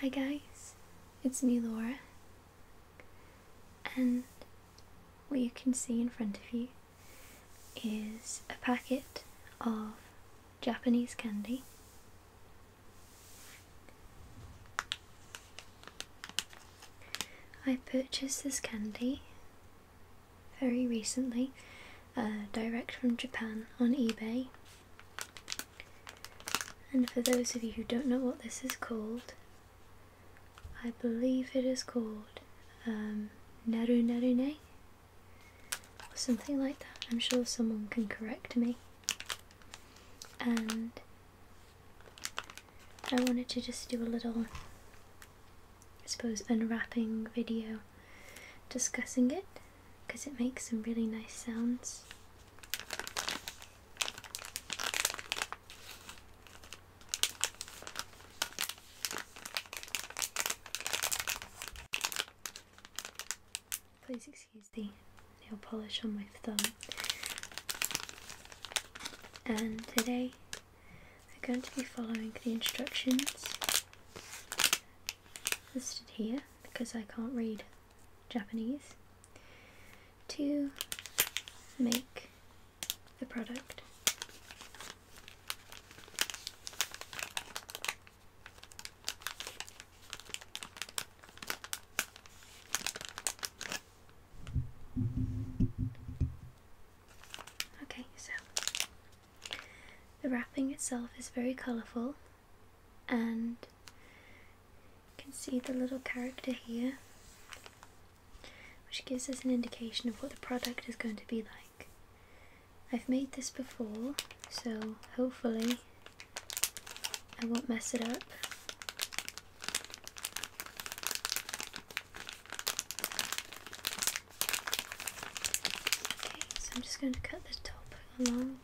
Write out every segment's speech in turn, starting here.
Hi guys, it's me Laura, and what you can see in front of you is a packet of Japanese candy. I purchased this candy very recently, uh, direct from Japan on eBay and for those of you who don't know what this is called, I believe it is called um, Naru Narune or something like that. I'm sure someone can correct me. And I wanted to just do a little, I suppose, unwrapping video discussing it because it makes some really nice sounds. Please excuse the nail polish on my thumb. And today we're going to be following the instructions listed here because I can't read Japanese, to make the product. Okay, so the wrapping itself is very colourful, and you can see the little character here, which gives us an indication of what the product is going to be like. I've made this before, so hopefully I won't mess it up. Okay, so I'm just going to cut the top along.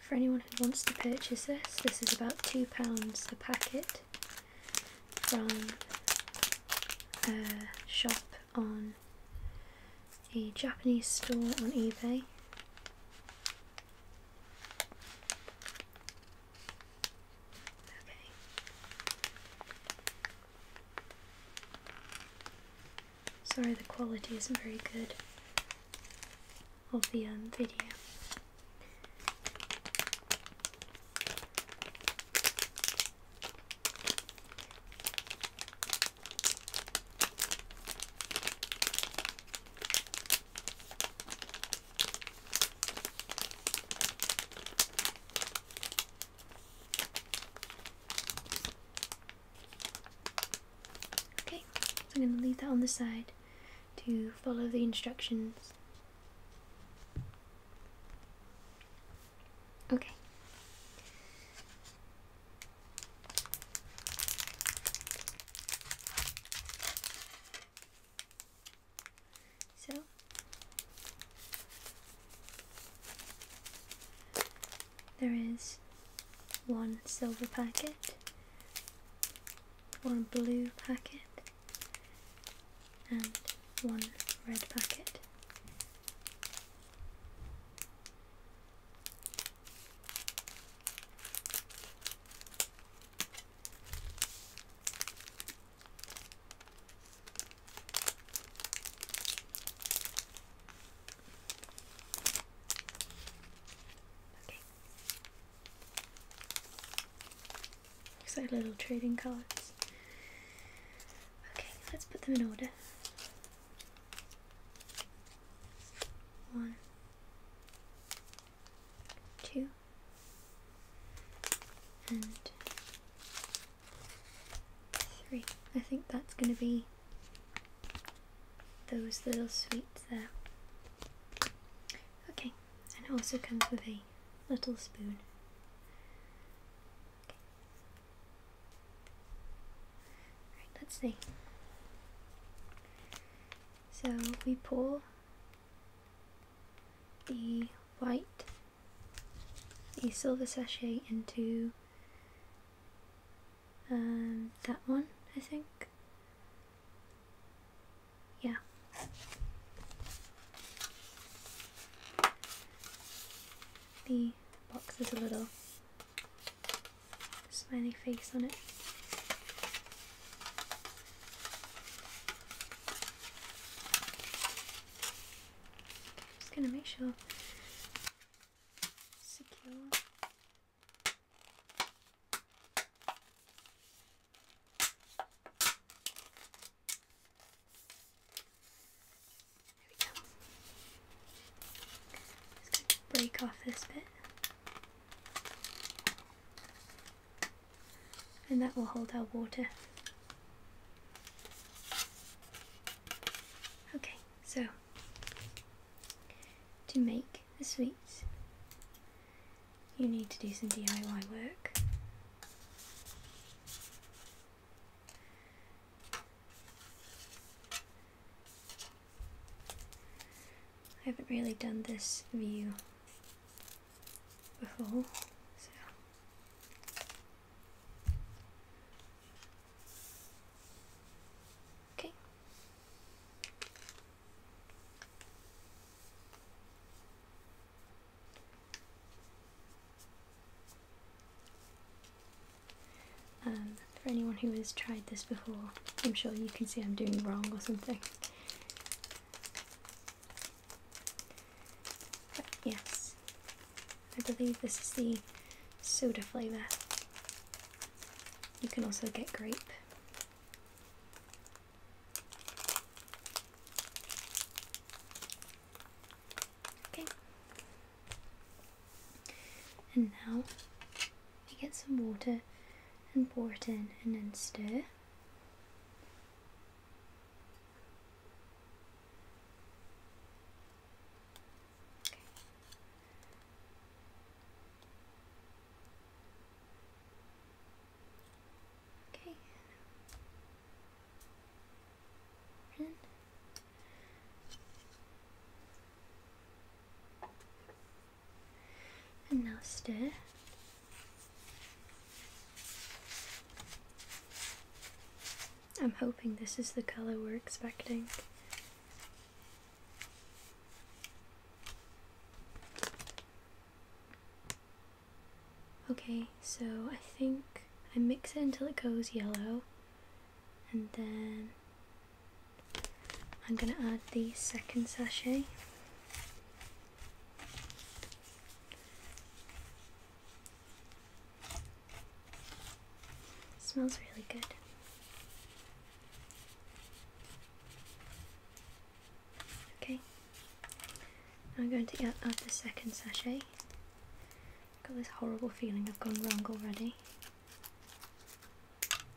For anyone who wants to purchase this, this is about £2 a packet from a shop on a Japanese store on eBay. Sorry, the quality isn't very good of the um, video. Okay, I'm going to leave that on the side to follow the instructions. Okay. So there is one silver packet, one blue packet, and one red packet. Okay. Looks like little trading cards. Okay, let's put them in order. One, two, and three. I think that's going to be those little sweets there. Okay, and it also comes with a little spoon. Okay. Right, let's see. So we pull the white, the silver sachet into um, that one, I think. Yeah. The box has a little smiley face on it. I'm just gonna make sure secure. There we go. Just gonna break off this bit and that will hold our water. Okay, so to make the sweets you need to do some DIY work. I haven't really done this view before, so. Okay. Um, for anyone who is trying this before. I'm sure you can see I'm doing wrong or something. yes, I believe this is the soda flavour. You can also get grape. Okay. And now get some water and pour it in and then stir. And now stir. I'm hoping this is the colour we're expecting. Okay, so I think I mix it until it goes yellow and then I'm going to add the second sachet. smells really good. Okay, I'm going to add the second sachet. got this horrible feeling I've gone wrong already.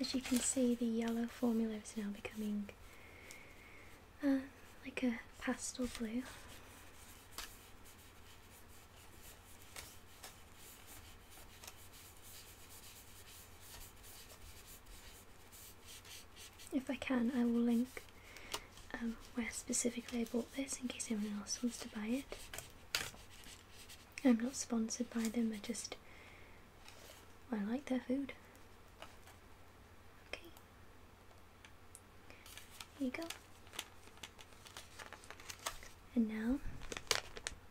As you can see, the yellow formula is now becoming uh, like a pastel blue. If I can, I will link um, where specifically I bought this in case anyone else wants to buy it. I'm not sponsored by them, I just I like their food. Okay. Here you go. And now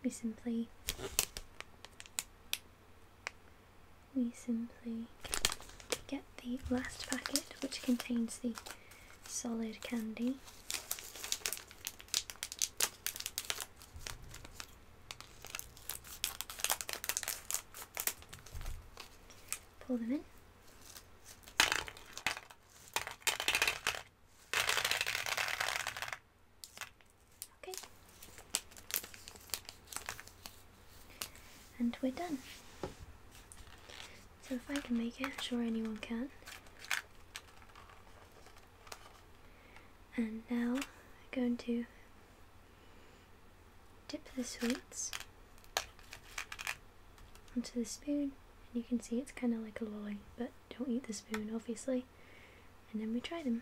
we simply we simply get the last packet which contains the solid candy Pull them in. Okay. And we're done. So if I can make it, sure anyone can. And now I'm going to dip the sweets onto the spoon. And you can see it's kind of like a lolly, but don't eat the spoon, obviously. And then we try them.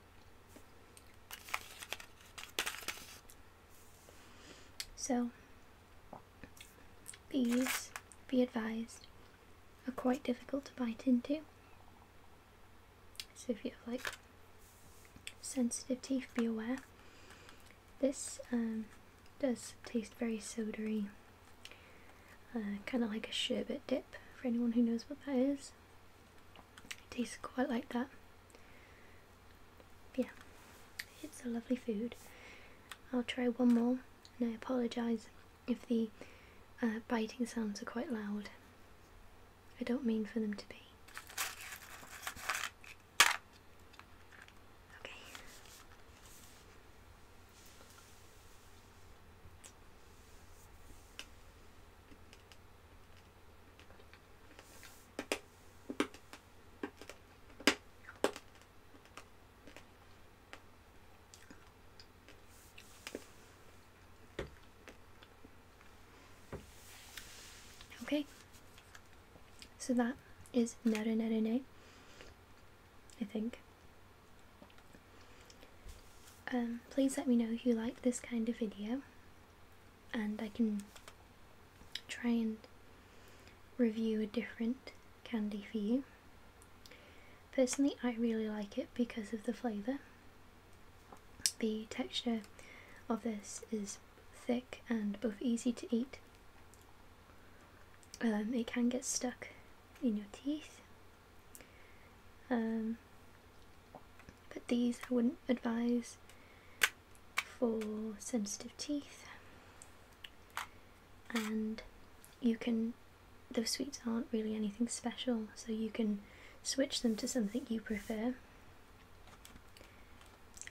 So, these, be advised, are quite difficult to bite into. So if you have like sensitive teeth, be aware. This um, does taste very sodary, uh, kind of like a sherbet dip for anyone who knows what that is. It tastes quite like that. yeah, it's a lovely food. I'll try one more, and I apologise if the uh, biting sounds are quite loud. I don't mean for them to be. Okay. Okay, so that is Nere Nere Ne, I think. Um, please let me know if you like this kind of video and I can try and review a different candy for you. Personally I really like it because of the flavour. The texture of this is thick and both easy to eat. Um, it can get stuck in your teeth um, but these I wouldn't advise for sensitive teeth. And you can, those sweets aren't really anything special, so you can switch them to something you prefer.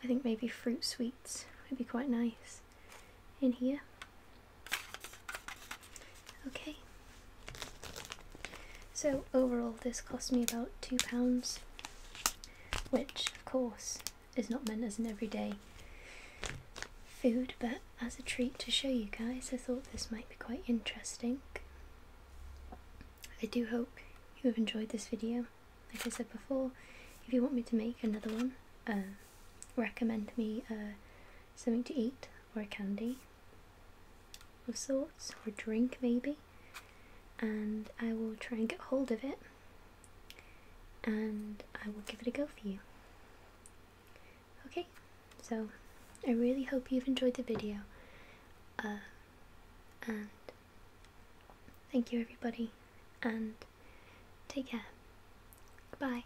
I think maybe fruit sweets would be quite nice in here. Okay. So overall this cost me about £2, which of course is not meant as an everyday food, but as a treat to show you guys, I thought this might be quite interesting. I do hope you have enjoyed this video. Like I said before, if you want me to make another one, uh, recommend me uh, something to eat or candy of sorts, or drink maybe, and I will try and get hold of it and I will give it a go for you. Okay, so I really hope you've enjoyed the video uh, and thank you everybody and take care. Goodbye.